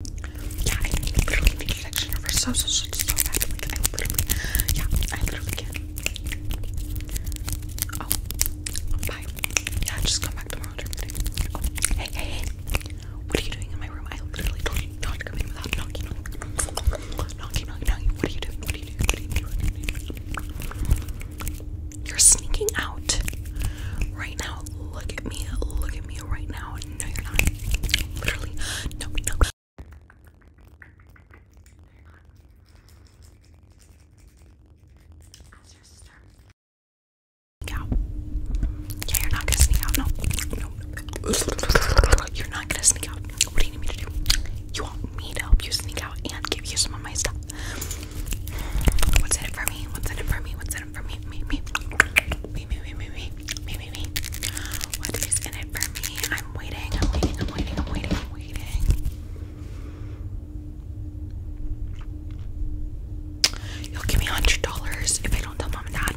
Yeah, I literally need an extra number so, so, so, so bad. Like, I literally, yeah, I literally can. Oh, bye. Yeah, just come back tomorrow during the day. Oh, hey, hey, hey. What are you doing in my room? I literally told you not to come in without knocking, knocking, knocking, knocking. What are you doing? What are you doing? What are you doing? You're sneaking out right now. Look at me. Look at me right now. No, you're not. Literally. No, no. As your sister. Sneak out. Yeah, you're not gonna sneak out. No. No. You're not gonna sneak out. What do you need me to do? You want me to help you sneak out and give you some of my stuff? What's in it for me? What's in it for me? What's in it in it for me? Me, me, me, me, me, me, me, me, me, me. What is in it for me? I'm waiting, I'm waiting, I'm waiting, I'm waiting, I'm waiting. You'll give me a hundred dollars if I don't tell mom and dad.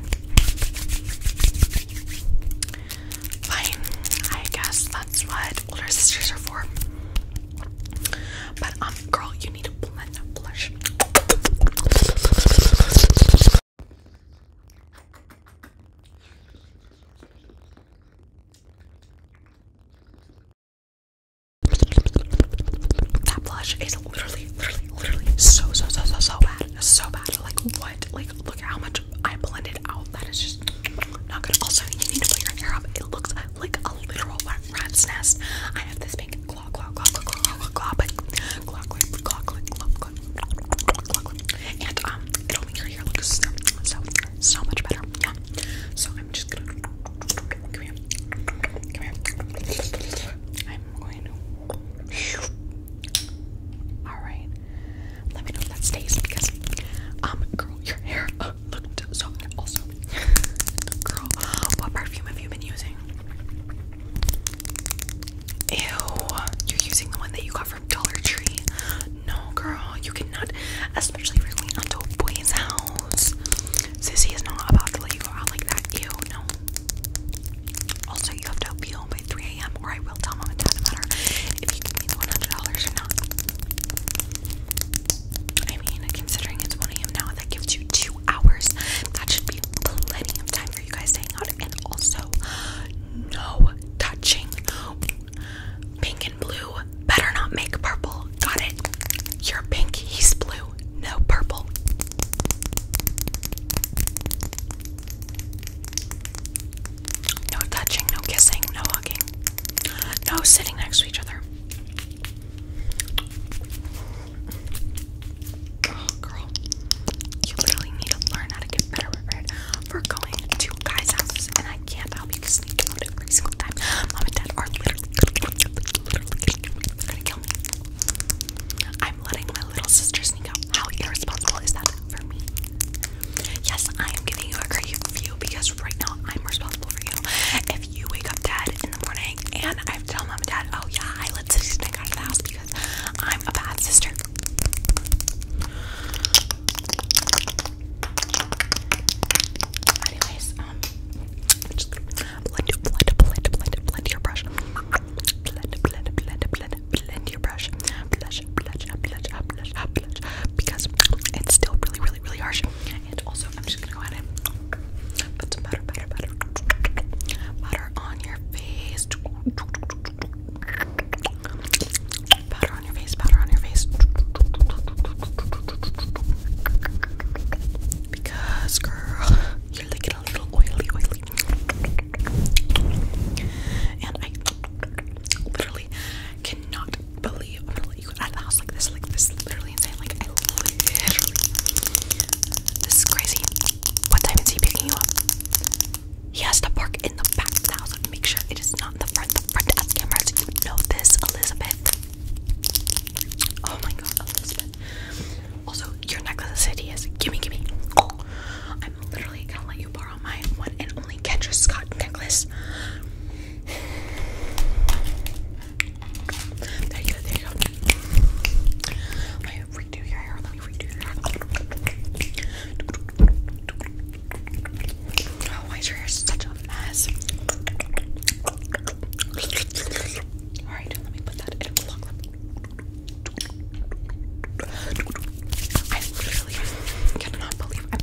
Fine, I guess that's what older sisters are for. But um, girl, you that blush. is literally, literally, literally so, so, so, so, so bad. So bad. Like, what? Like, look how much I blended out. That is just not good. Also, you need to put your hair up. It looks like a literal rat's nest. I have this big and um, it'll make your hair look so, so, so much better. Yeah. So I'm just gonna come here, come here. I'm going to. All right. Let me know if that stays because, um, girl, your hair looked so good. Also, girl, what perfume have you been using? Ew, you're using the one that you got from Dollar Tree. No, girl, you cannot, especially if going to a boy's house. Sissy is not about to let you go out like that. Ew, no. Also, you have to appeal by 3 a.m. or I will tell mom and dad about her. if you give me the $100 or not. I mean, considering it's 1 a.m. now, that gives you two hours. That should be plenty of time for you guys to hang out. And also, no touching. Pink and blue better not make purple. Got it? You're pink, he's blue. No purple. No touching, no kissing, no hugging, no sitting next to each other. Oh, girl, you literally need to learn how to get better prepared for going to guys' houses, and I can't help you because they every single time. Mom and Dad are literally, literally gonna kill me. I'm letting my little sister sneak out. How irresponsible is that for me? Yes, I am giving you a great view because right now I'm responsible for you you wake up dead in the morning and I have to tell mom and dad, oh yeah, I let Sissy Snake out of the house because I'm a bad sister. Anyways, um, I'm just gonna blend, blend, blend, blend, blend your brush. Blend, blend, blend, blend, blend your brush. Blush, blush, blush, blush, blush, because it's still really, really really, harsh. And also, I'm just gonna go ahead and put some butter, butter, butter, butter on your face. Powder on your face, powder on your face. Because, girl, you're looking a little oily, oily. And I literally cannot believe, let the house like this, like this is literally insane. Like This is crazy. What time is he picking you up? He has to park in the back of the house and make sure it is not in the front. The front has cameras. You know this, Elizabeth. Oh my god, Elizabeth. Also, your necklace is hideous. Gimme, gimme. Oh, I'm literally gonna let you borrow my one and only Kendra Scott necklace. There you go, there you go. Let me redo your hair. Let me redo your hair. Oh, why is your hair such a mess? Alright, let me put that in a vlog I literally cannot believe I'm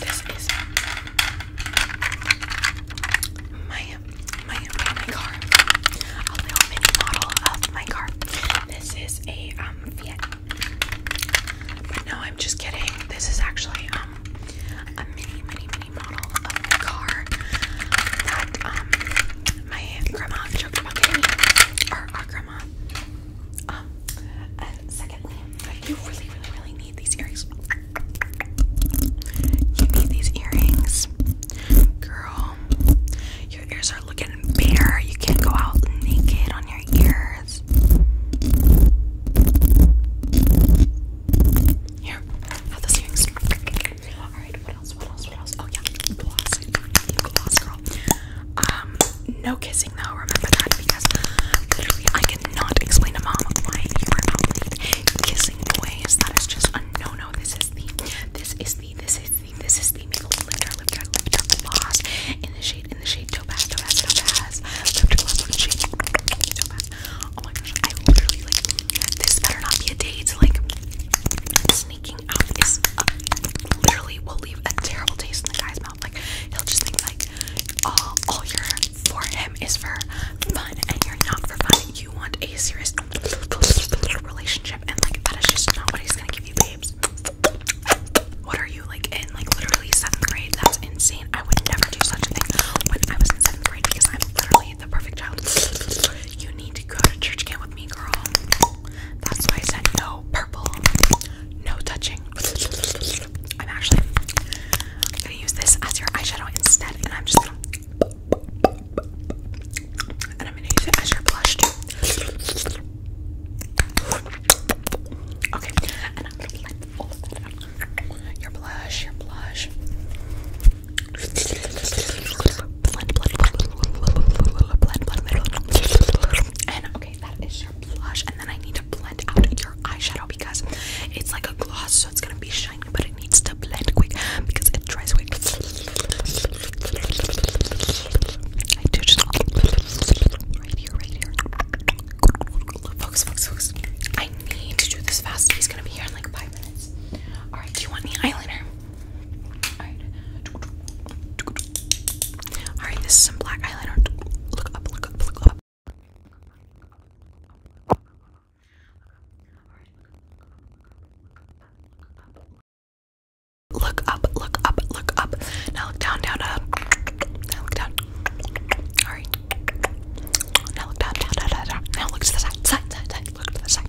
This is my my my car. A little mini model of my car. This is a um Fiat. no, I'm just kidding. This is actually um a mini mini mini model of my car that um my grandma joked about getting me. our grandma um, and secondly, you really, really, really need these earrings. You need these earrings, girl. Your ears are looking bare. You can't go out naked on your ears. Here, have those earrings. All right, what else? What else? What else? Oh yeah, gloss, gloss, girl. Um, no kissing though, remember that because literally I cannot explain to mom why you are not kissing That is just a no This is the this is the this is the this is the lifter lifter in the shade in the shade topaz topaz topaz lifter gloss in Oh my gosh, I literally like this better not be a date like sneaking out is literally will leave a terrible taste in the guy's like he'll just think like all all you're for him is for fun and you're not for fun. You want a serious relationship and like that is just not what he's gonna give you, babes. What are you like in like literally seventh grade? That's insane. I would never do such a thing when I was in seventh grade because I'm literally the perfect child. You need to go to church camp with me, girl. That's why I said no purple, no touching. I'm actually gonna use this as your eyeshadow instead, and I'm just gonna and I'm gonna use it as your blush too. Okay, and I'm gonna let Your blush, your blush. Blend, blend, blend, blend, blend, blend, blend, blend, that is your blush. And then I need to blend out your eyeshadow because it's like a gloss, so it's gonna be shiny, but it needs to blend quick because it dries quick. I do just right here, right here. Focus, focus, focus. I need to do this fast. He's gonna be here in like five minutes. Alright, do you want the eyeliner? Alright. Alright, this is some black eyeliner. Look up, look up, look up. Look up, look up, look up. Now look down, down, down. Now look down. Alright. Now look down, down, down, down. Now look to the side, side, side, side. Look to the side.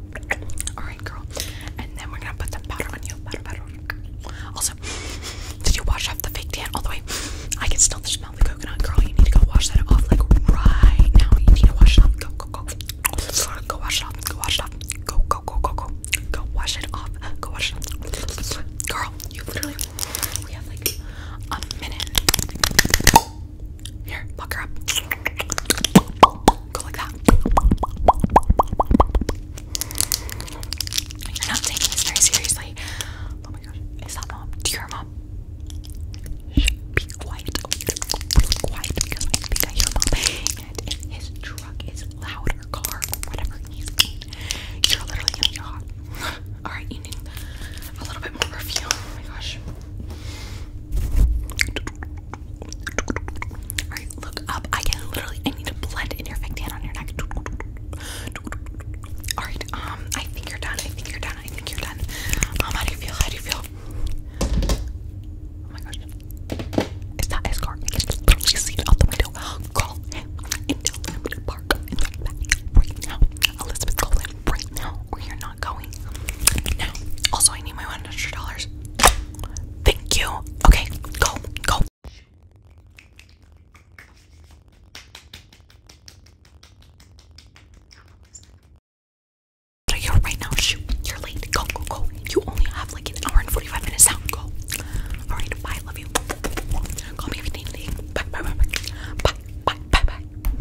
Alright, girl. And then we're gonna put the powder on you. Powder, powder. Also, did you wash off the fake tan all the way? I can still smell the coconut, girl. You need to go wash that off like right now. You need to wash it off. Go, go, go. Go wash it off. Go wash it off. Go, go, go, go, go. Go wash it off. Go wash it off. Girl, you literally. We have like a minute. Here, buck her up. Go like that. You're not taking this very seriously. Oh my gosh. Is that mom? Do you mom? be quiet. Oh, you're quiet because I mom. And his truck is loud car or whatever you're literally gonna get Alright, you need a little bit more perfume. Oh my gosh. Alright, look up. I can literally I need to blend in your fake tan on your neck. Alright, um, I think you're done. I think you're done. I think you're done. Um, how do you feel? How do you feel? Oh my gosh. Is that his car? see it out the window. Call him and tell park right now. Elizabeth, call right now you're not. Also, I need my $100. Thank you. Okay, go, go. you right now. Shoot, you're late. Go, go, go. You only have like an hour and 45 minutes now. Go. Alright, bye. Love you. Call me everything. Bye, bye, bye, bye. Bye, bye, bye, bye.